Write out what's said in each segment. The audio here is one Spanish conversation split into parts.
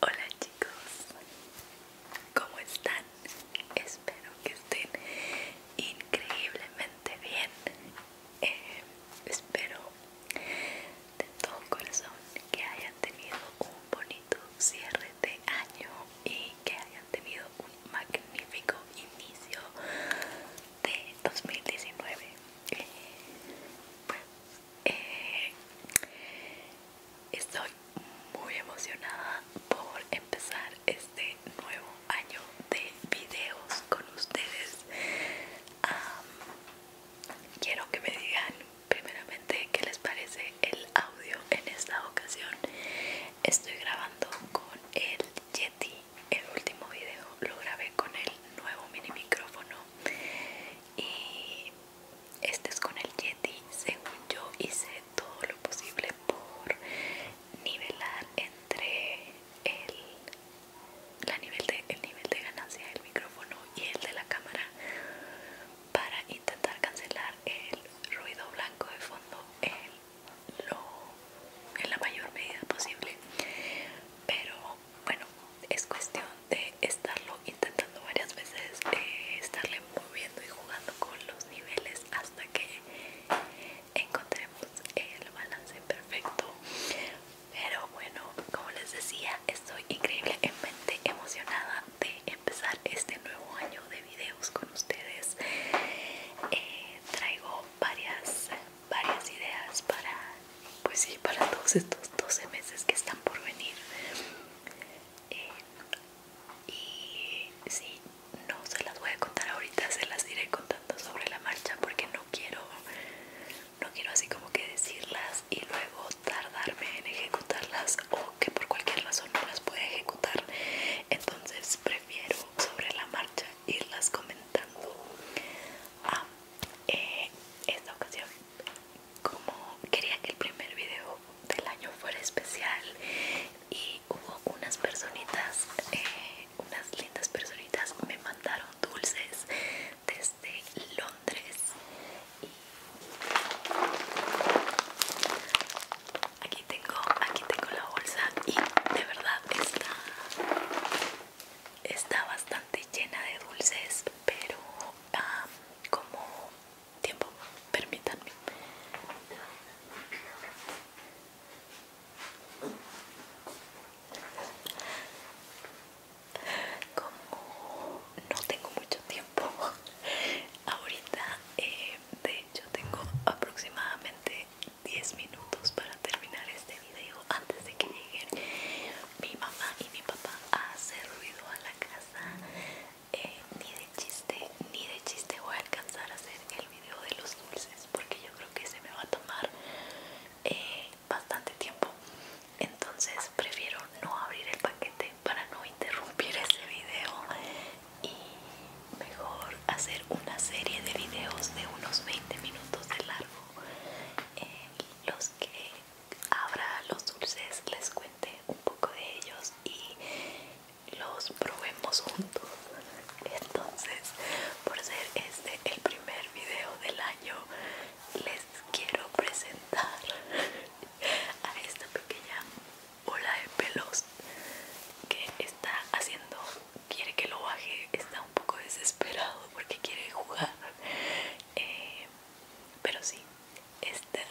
Hola chicos, ¿cómo están? Espero que estén increíblemente bien. Eh, espero de todo corazón que hayan tenido un bonito cierre de año y que hayan tenido un magnífico inicio de 2019 eh, estoy muy emocionada por empezar este nuevo año de videos con ustedes quiero que me digan primeramente qué les parece el audio en esta ocasión estoy grabando con el Yeti el último video lo grabé con el nuevo mini micrófono y este es con el Yeti según yo hice todo lo posible por nivelar entre el, nivel, de, nivel de ganancia del micrófono y el de la cámara para intentar cancelar el ruido blanco de fondo en, en la mayor medida posible pero bueno, es cuestión de estarlo intentando varias veces, estarle moviendo y jugando con los niveles hasta que encontremos el balance perfecto. Pero bueno, como les decía, estoy increíblemente emocionada de empezar este nuevo año de videos con ustedes. Eh, traigo varias varias ideas para pues sí para todos estos 12 meses que están por venir eh, y sí no se las voy a contar ahorita se las iré contando sobre la marcha porque no quiero no quiero así como que decirlas y luego tardarme en ejecutarlas o que por cualquier razón no las pueda ejecutar entonces prefiero sobre la marcha irlas comentando ah, eh, esta ocasión como quería que el primer video del año fuera especial y hubo unas personitas eh, unas lindas personitas me mandaron dulces desde Londres y aquí tengo aquí tengo la bolsa y de verdad está está bastante llena de dulces pero como tiempo permítanme como no tengo mucho tiempo ahorita eh, de hecho tengo aproximadamente 10 minutos para terminar este antes de que lleguen mi mamá y mi papá a hacer ruido a la casa eh, ni de chiste ni de chiste voy a alcanzar a hacer el video de los dulces porque yo creo que se me va a tomar eh, bastante tiempo entonces prefiero no abrir el paquete para no interrumpir ese video y mejor hacer una serie de videos de unos 20 minutos de largo eh, los que abra los dulces les cuente un poco de ellos y los probemos juntos entonces por ser este el primer video del año les quiero presentar a esta pequeña ola de pelos que está haciendo quiere que lo baje está un poco desesperado porque quiere jugar eh, pero sí este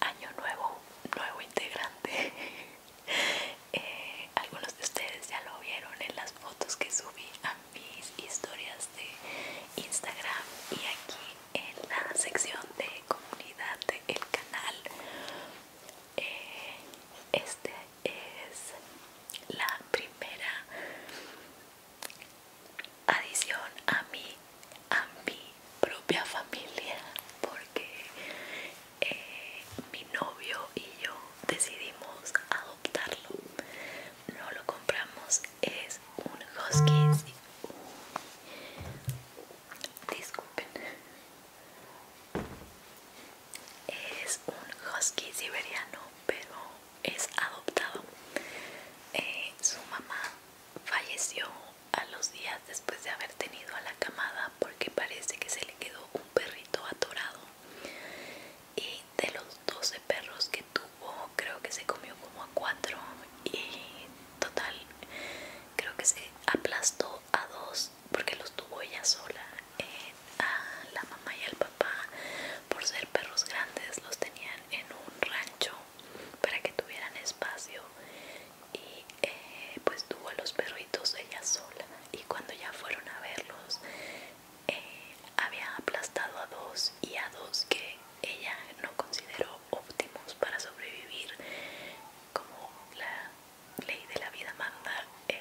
año nuevo nuevo integrante eh, algunos de ustedes ya lo vieron en las fotos que subí a mis historias de Instagram y aquí en la sección de comunidad del canal eh, Este este es la primera adición a mi, a mi propia familia porque eh, mi novio y yo decidimos adoptarlo no lo compramos es un husky es un husky siberiano pero es adoptado. Eh, su mamá falleció a los días después de haber tenido a la camada porque parece que se le quedó un perrito atorado. Y de los 12 perros que tuvo, creo que se comió como a cuatro y total, creo que se aplastó a dos porque los tuvo ella sola a la mamá y al papá por ser perros grandes los tenían en un rancho para que tuvieran espacio y eh, pues tuvo a los perritos ella sola y cuando ya fueron a verlos eh, había aplastado a dos y a dos que ella no consideró óptimos para sobrevivir como la ley de la vida manda eh,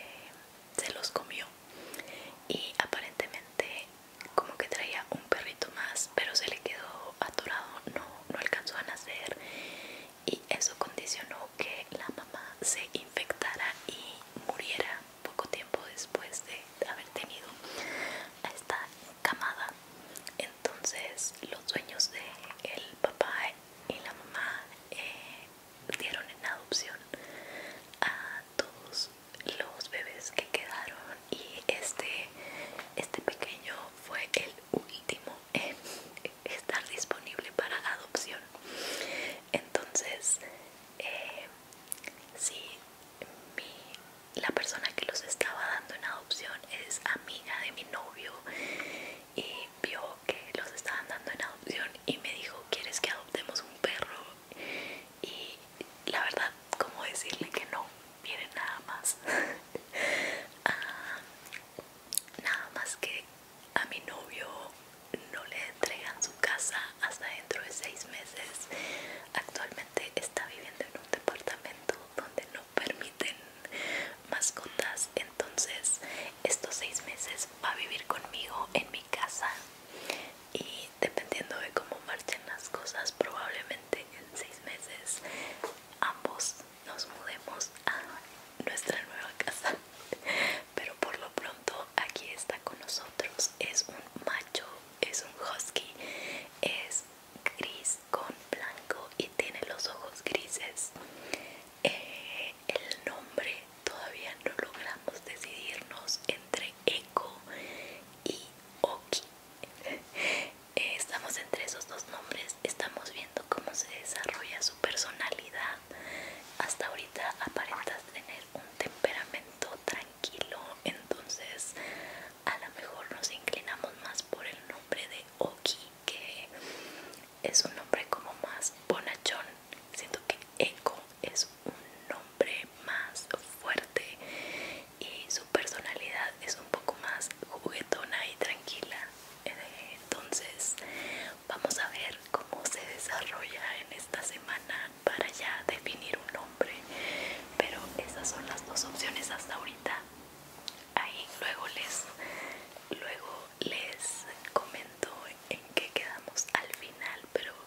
se los comió y aparentemente como que traía un perrito más pero se le quedó atorado no, no alcanzó a nacer y eso condicionó que la mamá se infectara y muriera poco tiempo después de haber tenido esta camada entonces los sueños de el papá y la mamá eh, dieron en adopción a todos los bebés que quedaron y este este pequeño fue el último en estar disponible para adopción entonces eh, la persona que los estaba dando en adopción es amiga de mi novio y vio que los estaban dando en adopción y me dijo quieres que adoptemos un perro y la verdad, como decirle que no viene nada más. Ah, nada más que a mi novio no le entregan su casa hasta dentro de seis meses. Actualmente está viviendo en un departamento donde no permiten mascotas, entonces estos seis meses va a vivir conmigo en mi casa y dependiendo de cómo marchen las cosas, probablemente en seis meses ambos nos mudemos a nuestra nueva casa. Pero por lo pronto aquí está con nosotros. Es un macho, es un husky, es gris con blanco y tiene los ojos grises. Eh, el nombre todavía no logramos decidirnos entre Eko y Oki. Eh, estamos entre esos dos nombres, estamos viendo cómo se desarrolla su personalidad. Hasta ahorita aparenta tener un temperamento tranquilo, entonces a lo mejor nos inclinamos más por el nombre de Oki, que es un nombre como más bonachón siento que Eco es un nombre más fuerte y su personalidad es un poco más juguetona y tranquila entonces vamos a ver cómo se desarrolla en esta semana para ya definir un nombre pero esas son las dos opciones hasta ahorita ahí luego les luego les comento en qué quedamos al final pero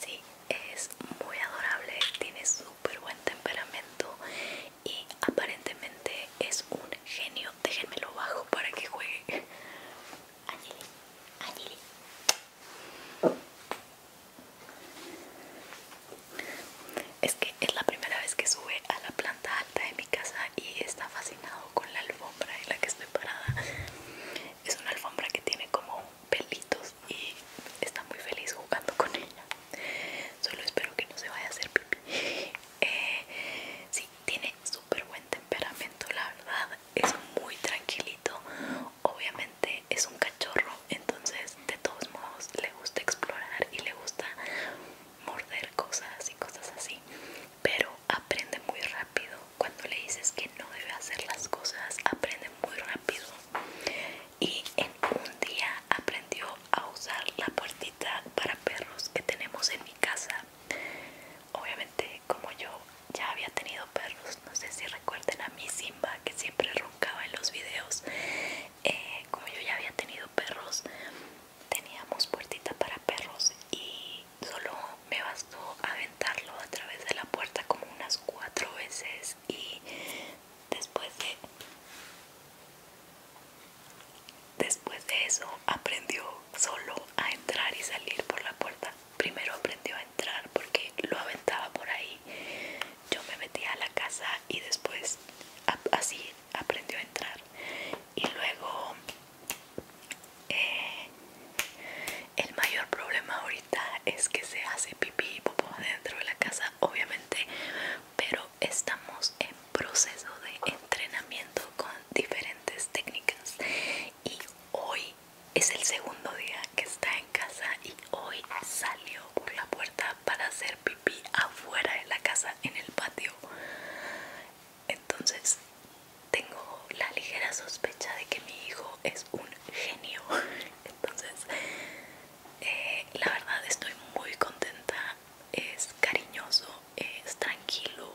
Sí, es muy adorable, tiene súper buen temperamento y aparentemente es un genio. Déjenmelo bajo para que juegue. Angeli, Angeli. Es que es la primera vez que sube a la planta alta de mi casa y está fascinado con la alfombra en la que estoy parada. Es una alfombra que tiene como pelitos y está muy feliz jugando con ella. Solo espero que no se vaya a hacer pipí. Eh, sí, tiene súper buen temperamento, la verdad. Es muy tranquilito. Obviamente es un cachorro, entonces de todos modos le gusta explorar y le gusta morder cosas y cosas así. Pero aprende muy rápido. Cuando le dices que no debe hacer las cosas, aprende muy rápido y en un día aprendió a usar la puertita para perros que tenemos en mi casa. Obviamente como yo ya había tenido perros, no sé si recuerden a mi Simba que siempre roncaba en los videos, eh, como yo ya había tenido perros, teníamos puertita para perros y solo me bastó aventarlo a través de la puerta como unas cuatro veces y Después de Después de eso aprendió solo a entrar y salir por la puerta. Primero aprendió a entrar porque lo aventaba por ahí. Yo me metía a la casa y después así aprendió a entrar. Y luego eh, el mayor problema ahorita es que se hace pipí y popó dentro de la casa obviamente pero estamos en proceso de entrenamiento con diferentes técnicas y hoy es el segundo día que está en casa y hoy salió por la puerta para hacer pipí afuera de la casa en el patio entonces tengo la ligera sospecha de que mi hijo es un genio entonces eh, la verdad estoy muy contenta es cariñoso es tranquilo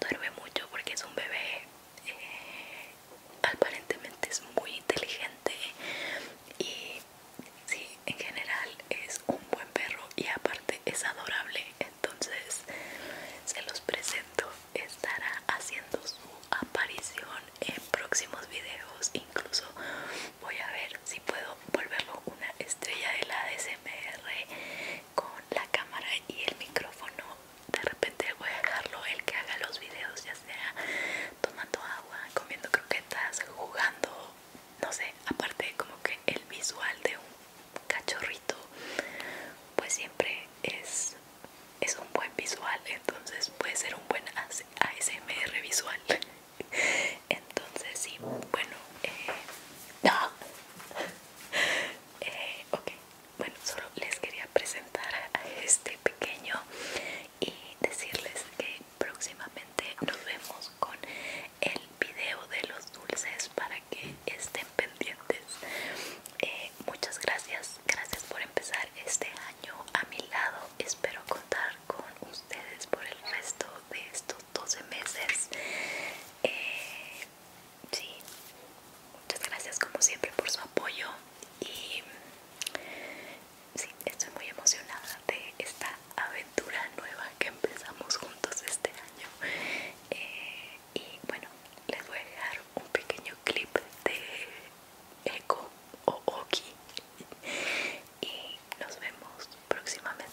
duerme mucho porque es un bebé eh, aparentemente es muy inteligente y sí en general es un buen perro y aparte es adorable entonces se los presento estará haciendo su aparición en próximos videos. Incluso voy a ver si puedo volverlo una estrella de la ASMR con la cámara y el micrófono. De repente voy a dejarlo el que haga los videos, ya sea tomando agua, comiendo croquetas, jugando, no sé. Aparte, como que el visual de un cachorrito, pues siempre es es un buen visual, entonces puede ser un buen ASMR visual. Entonces sí, bueno, eh, eh, ok, bueno, solo les quería presentar a este pequeño y decirles que próximamente nos vemos con el video de los dulces para que estén pendientes. Eh, muchas gracias gracias, por empezar este año a mi lado. Espero contar con ustedes por el resto de estos 12 meses. Eh, sí, muchas gracias como siempre por su apoyo y sí, estoy muy emocionada de esta aventura nueva que empezamos juntos este año. Eh, y bueno, les voy a dejar un pequeño clip de Eco o Oki. Y nos vemos próximamente.